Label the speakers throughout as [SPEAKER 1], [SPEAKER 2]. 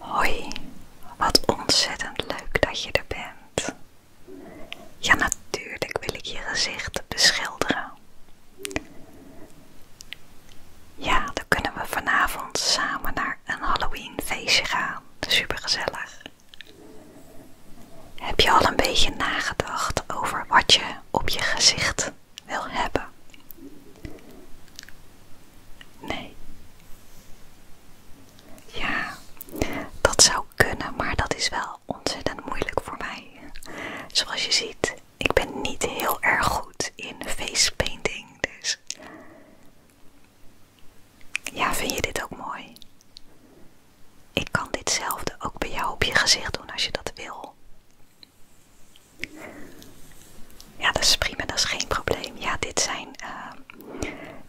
[SPEAKER 1] Hoi, wat ontzettend leuk dat je er bent. Ja, natuurlijk wil ik je gezicht beschilderen. Ja, dan kunnen we vanavond samen naar een Halloween feestje gaan. Supergezellig. Heb je al een beetje nagedacht over wat je op je gezicht wil hebben? Nee. Ja, dat zou kunnen, maar dat is wel ontzettend moeilijk voor mij. Zoals je ziet, ik ben niet heel erg goed in face painting, dus ja, vind je dit ook mooi? Ik kan ditzelfde ook bij jou op je gezicht doen als je dat wil. Ja, dat is prima, dat is geen probleem. Ja, dit zijn eh,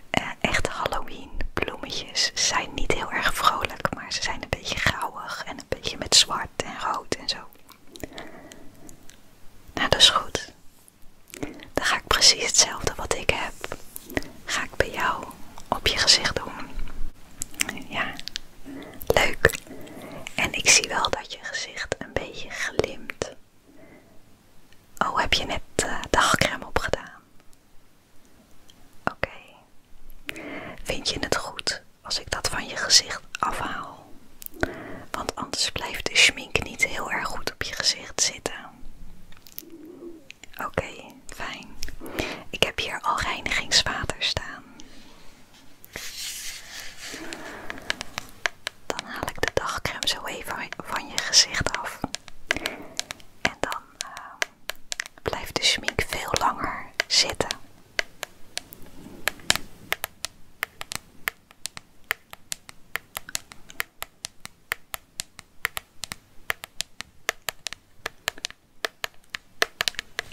[SPEAKER 1] eh, echte Halloween bloemetjes. Ze zijn niet heel erg vrolijk, maar ze zijn een beetje grauwig en een beetje met zwart en rood en zo. Nou, dat is goed. Dan ga ik precies hetzelfde wat ik heb ga ik bij jou op je gezicht doen. Ja, leuk. En ik zie wel dat je gezicht een beetje glimt. Oh, heb je net uh, eh, dagcrème opgedaan? Oké. Vind je het goed als ik dat van je gezicht afhaal? Want anders blijft de schmink niet heel erg goed op je gezicht zitten. Oké, fijn. Ik heb hier al reinigingswater staan. Dan haal ik de dagcreme zo even van je gezicht af. En dan eh, blijft de schmink veel langer zitten.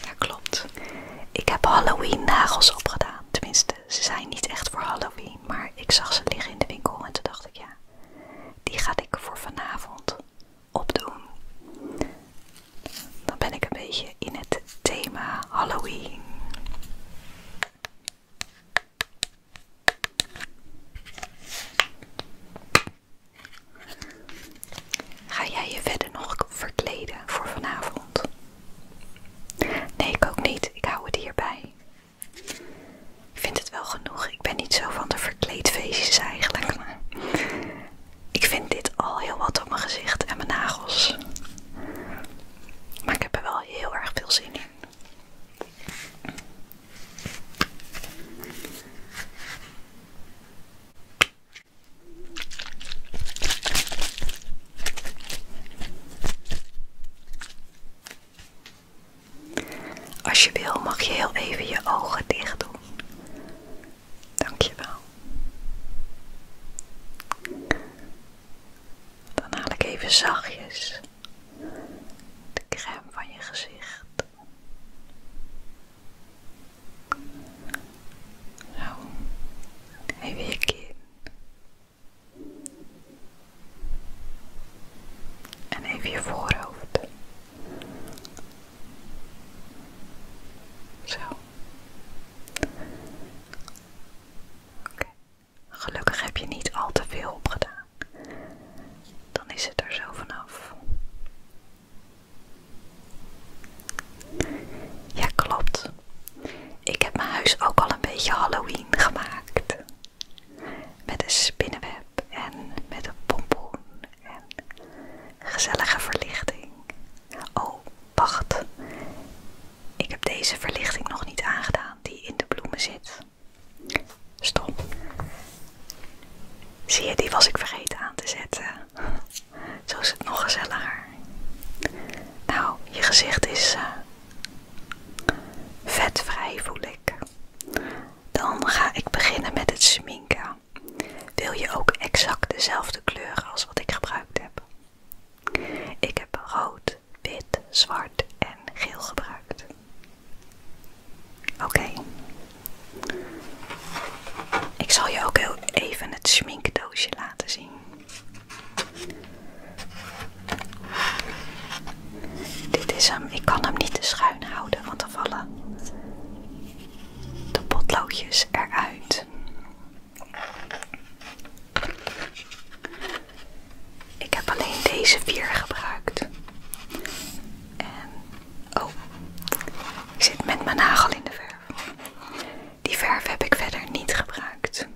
[SPEAKER 1] Ja, klopt. Ik heb Halloween nagels opgedaan. Tenminste, ze zijn niet echt voor Halloween, maar ik zag ze liggen in de winkel en toen dacht ik ja, die ga ik voor vanavond opdoen. Dan ben ik een beetje in het thema Halloween. Ga jij je verder nog verkleden voor vanavond? Nee, ik ook niet. Ik hou het hierbij. Ik vind het wel genoeg. Ik ben niet zo van de verkleedfeestjes eigenlijk. ik vind dit al heel wat op mijn gezicht en mijn nagels. Maar ik heb er wel heel erg veel zin in. Als je wil, mag je heel even je ogen dicht doen. Dankjewel. Dan haal ik even zachtjes de crème van je gezicht. Zo, even je kin. En even je voorhoofd. Zo. Gelukkig heb je niet al te veel opgedaan dan is het er zo vanaf. Ja, klopt. Ik heb mijn huis ook al een beetje Halloween gemaakt. Met een spinnenweb en met een pompoen en gezellige verlichting. Oh, wacht. Ik heb deze verlichting nog niet aangedaan die in de bloemen zit. Stop. Zie je, die was ik vergeten aan te zetten. Zo is het nog gezelliger. Nou, je gezicht is eh, vetvrij, voel ik. Dan ga ik beginnen met het sminken. Wil je ook exact dezelfde kleuren als wat ik gebruikt heb? Ik heb rood, wit, zwart en geel gebruikt. Oké. Ik zal je ook heel even het schminkdoosje laten zien. Dit is hem. Ik kan hem niet te schuin houden, want dan vallen de potloodjes eruit. Ik heb alleen deze vier gebruikt. En, oh, ik zit met mijn nagel in de verf. Die verf heb ik verder niet gebruikt.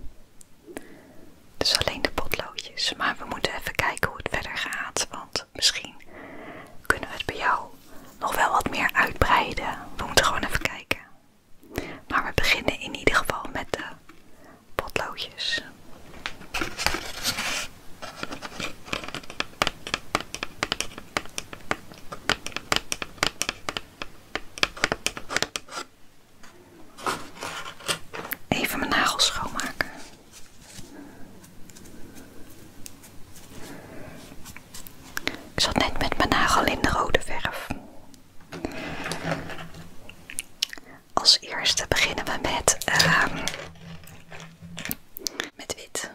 [SPEAKER 1] Dus alleen de potloodjes. Maar we moeten even kijken hoe het verder gaat. Want misschien kunnen we het bij jou nog wel wat meer uitbreiden. We moeten gewoon even kijken. Maar we beginnen in ieder geval met de potloodjes. Even mijn nagels schoonmaken. Ik zat net met mijn nagel in de rode verf. Als eerste beginnen we met, ehm, met wit.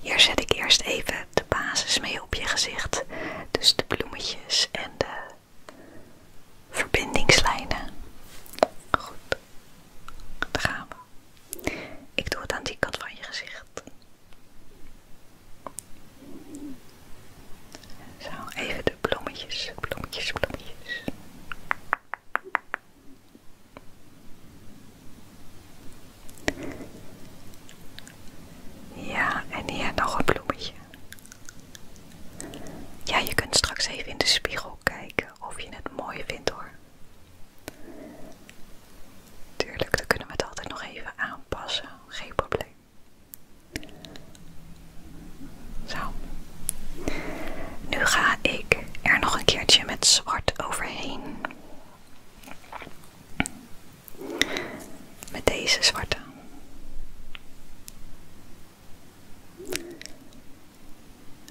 [SPEAKER 1] Hier zet ik eerst even de basis mee op je gezicht. Dus de bloemetjes en de verbindingslijnen. Goed, daar gaan we. Ik doe het aan die kant van je gezicht. Zo, even de bloemetjes, bloemetjes, bloemetjes. Ja, en hier nog een bloemetje. Ja, je kunt straks even in de spiegel kijken of je het mooi vindt hoor. Tuurlijk, dan kunnen we het altijd nog even aanpassen, geen probleem. Zo. Nu ga ik er nog een keertje met zwart overheen. Met deze zwarte.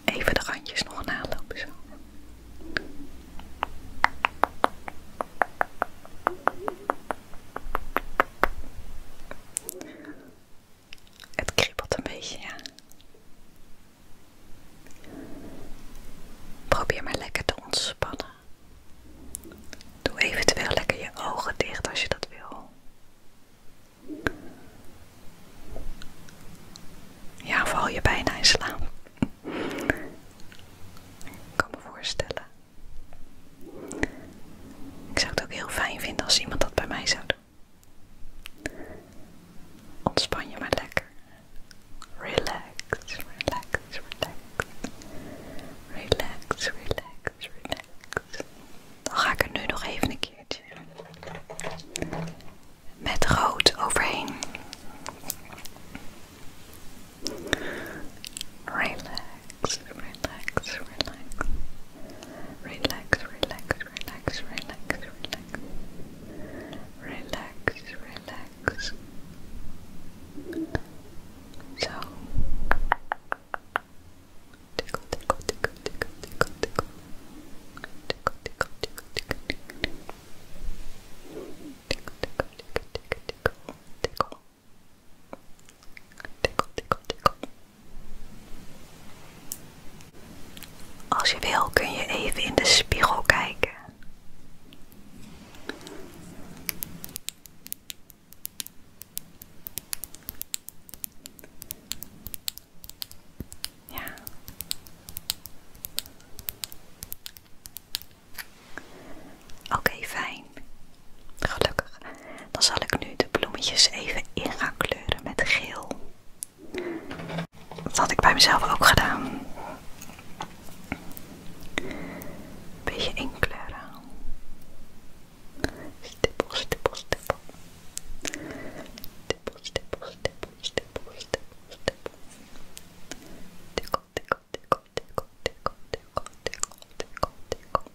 [SPEAKER 1] Even de randjes nog nalopen zo. Het kriebelt een beetje, ja. Probeer maar lekker te ontspannen. Doe eventueel lekker je ogen dicht als je dat wil. Ja, val je bijna in slaap. Ik kan me voorstellen. Ik zou het ook heel fijn vinden als iemand dat bij mij zou doen. Ontspan je maar lekker. Relax, relax, relax. Relax, relax, relax. Dan ga ik er nu nog even een keertje met rood overheen. Relax, relax, relax. Relax, relax, relax, relax, relax. Relax, relax. So tickle, tickle, tickle, tickle, tickle, tickle. Tickle, tickle, tickle, tickle, tickle. Tickle, tickle, tickle, tickle, tickle, tickle. Tickle, Als je wil kun je even in de spiegel kijken. Ja. Oké, okay, fijn. Gelukkig. Dan zal ik nu de bloemetjes even in gaan kleuren met geel. Dat had ik bij mezelf ook gedaan. Een beetje inkleuren. Stippel, stippel, stippel. Stippel, stippel, stippel, stippel, stippel, Tikkel, tikkel, tikkel, tikkel, tikkel, tikkel, tikkel, tikkel,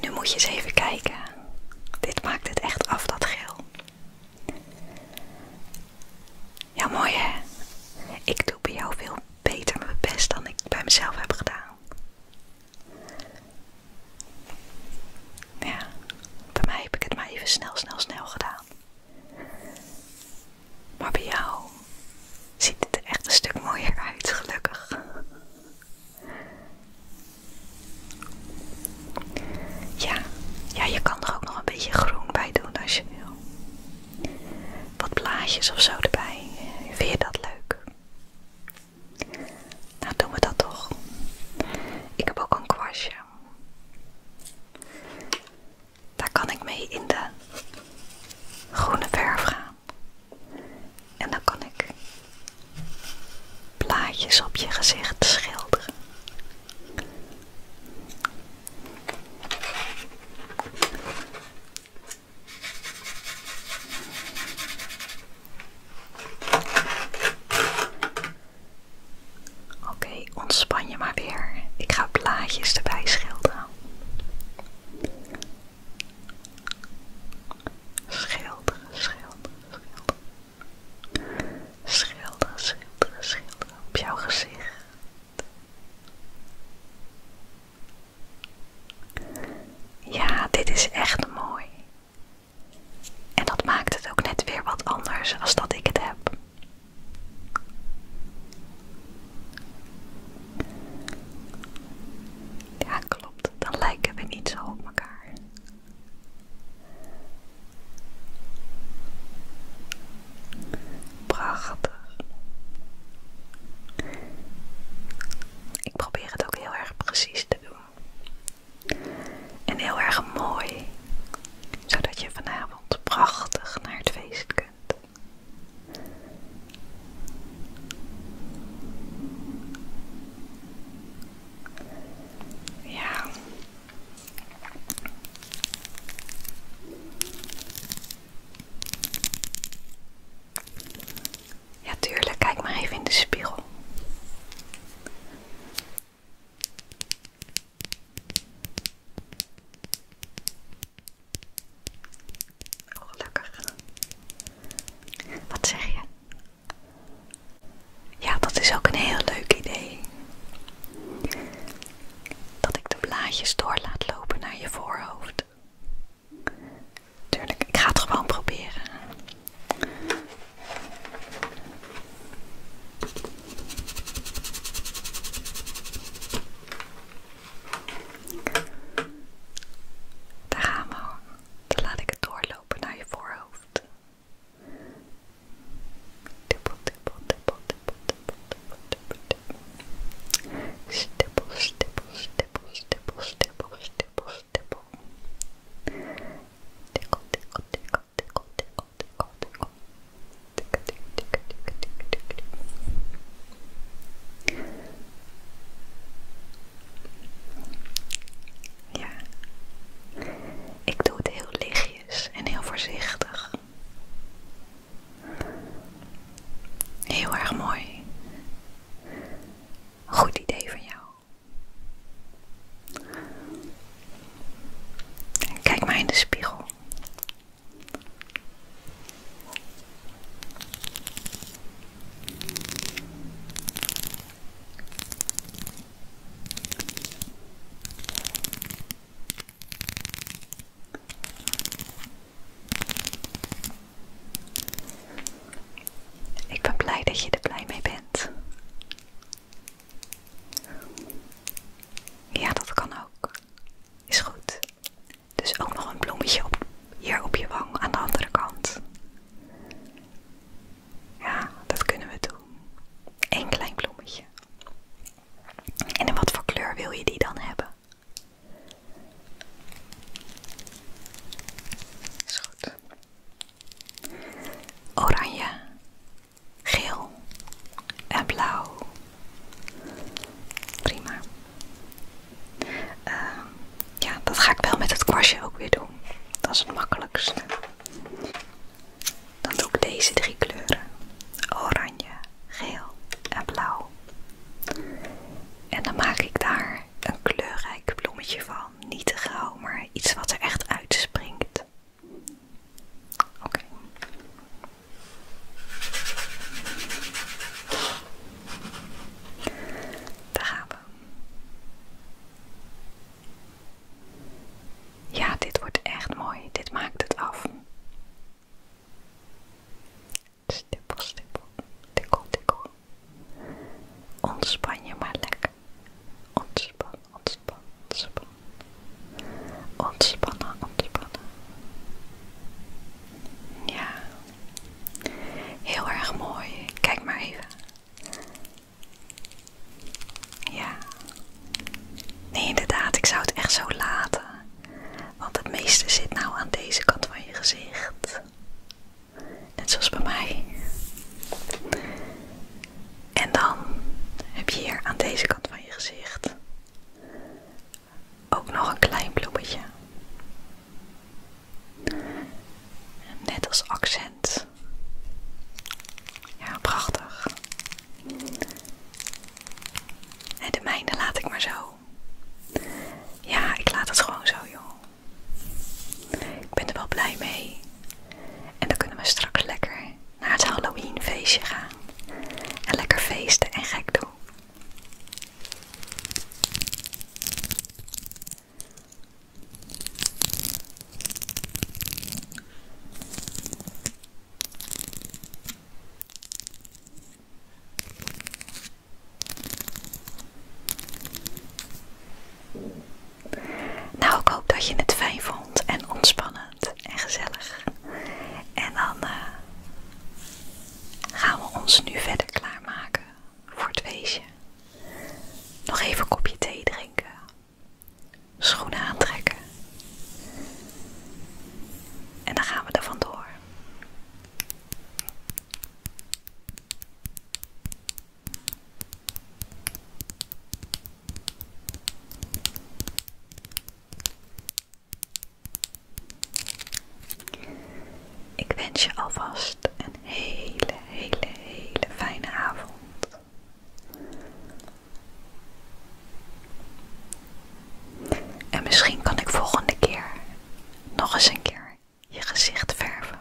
[SPEAKER 1] Nu moet je eens even kijken. Dit maakt het echt af, dat geel. Ja, mooi hè? Ik doe bij jou veel beter mijn best dan ik bij mezelf heb gedaan. Ja, bij mij heb ik het maar even snel, snel, snel gedaan. Maar bij jou ziet het er echt een stuk mooier uit, gelukkig. Ja, ja, je kan er ook nog een beetje groen bij doen als je wil. Wat blaadjes of zo erbij. Vind je dat leuk? Nou, doen we dat toch. Ik heb ook een kwastje. Daar kan ik mee in de groene verf gaan. En dan kan ik plaatjes op je gezicht schilderen. Oké, ontspan je maar weer. Ik ga plaatjes erbij schilderen. Schilderen, schilderen, schilderen. Schilderen, schilderen, schilderen. Op jouw gezicht. Ja, dit is echt mooi. En dat maakt het ook net weer wat anders als dat ik het heb. Ja, klopt. Dan lijken we niet zo op elkaar. Prachtig. Ik probeer het ook heel erg precies te doen. En heel erg mooi, zodat je vanavond prachtig naar het feest kunt. Ja. Ja, tuurlijk. Kijk maar even in de spiegel. Oh, gelukkig. Wat zeg je? Ja, dat is ook een heel leuk idee. Dat ik de blaadjes door laat lopen naar je voorhoofd. Tuurlijk, ik ga het gewoon proberen. Daar gaan we. Dan laat ik het doorlopen naar je voorhoofd. Tippel, tippel, tippel, tippel, tippel, tippel, tippel, Stippel, stippel, stippel, stippel, ja. Ik doe het heel lichtjes en heel voorzichtig. Heel erg mooi. Goed idee van jou. Kijk maar in de spiegel. Ik ben blij dat je er blij mee bent. Ja, dat kan ook. Is goed. Dus ook nog een bloemetje hier op je wang aan de andere kant. Ja, dat kunnen we doen. een klein bloemetje. En in wat voor kleur wil je die dan hebben? Is goed. Oranje, geel en blauw. Prima. Ehm, ja, dat ga ik wel met het kwastje ook weer doen. Dat is het makkelijkste. Dan doe ik deze drie kleuren. Oranje, geel en blauw. En dan maak ik daar een kleurrijk bloemetje van. Niet te gauw, maar iets wat er echt uitspringt. Oké. Daar gaan we. Ja, dit wordt echt mooi. Dit maakt het af. Stippel, stippel, tikkel, tikkel. Ontspan je maar lekker. Ontspan, ontspan, ontspan. Ontspannen, ontspannen. Ja. Heel erg mooi. Kijk maar even. Ja. Nee, inderdaad, ik zou het echt zo laten. Want het meeste zit nou aan deze kant van je gezicht. Net zoals bij mij. En dan heb je hier aan deze kant van je gezicht ook nog een klein bloemetje. Net als accent. Ja, prachtig. En de mijne laat ik maar zo. Ja, ik laat het gewoon zo, joh. Ik ben er wel blij mee. En dan kunnen we straks lekker naar het Halloween feestje gaan. En lekker feesten en gek doen. Nou, ik hoop dat je het fijn vond en ontspannend en gezellig. En dan eh, gaan we ons nu verder klaarmaken voor het weesje, Nog even een kopje thee drinken. Schoenen aantrekken. En dan gaan we er vandoor. Ik wens je alvast een hele, hele, hele fijne avond. En misschien kan ik volgende keer nog eens een keer je gezicht verven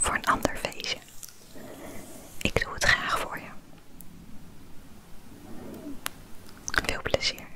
[SPEAKER 1] voor een ander feestje. Ik doe het graag voor je. Veel plezier.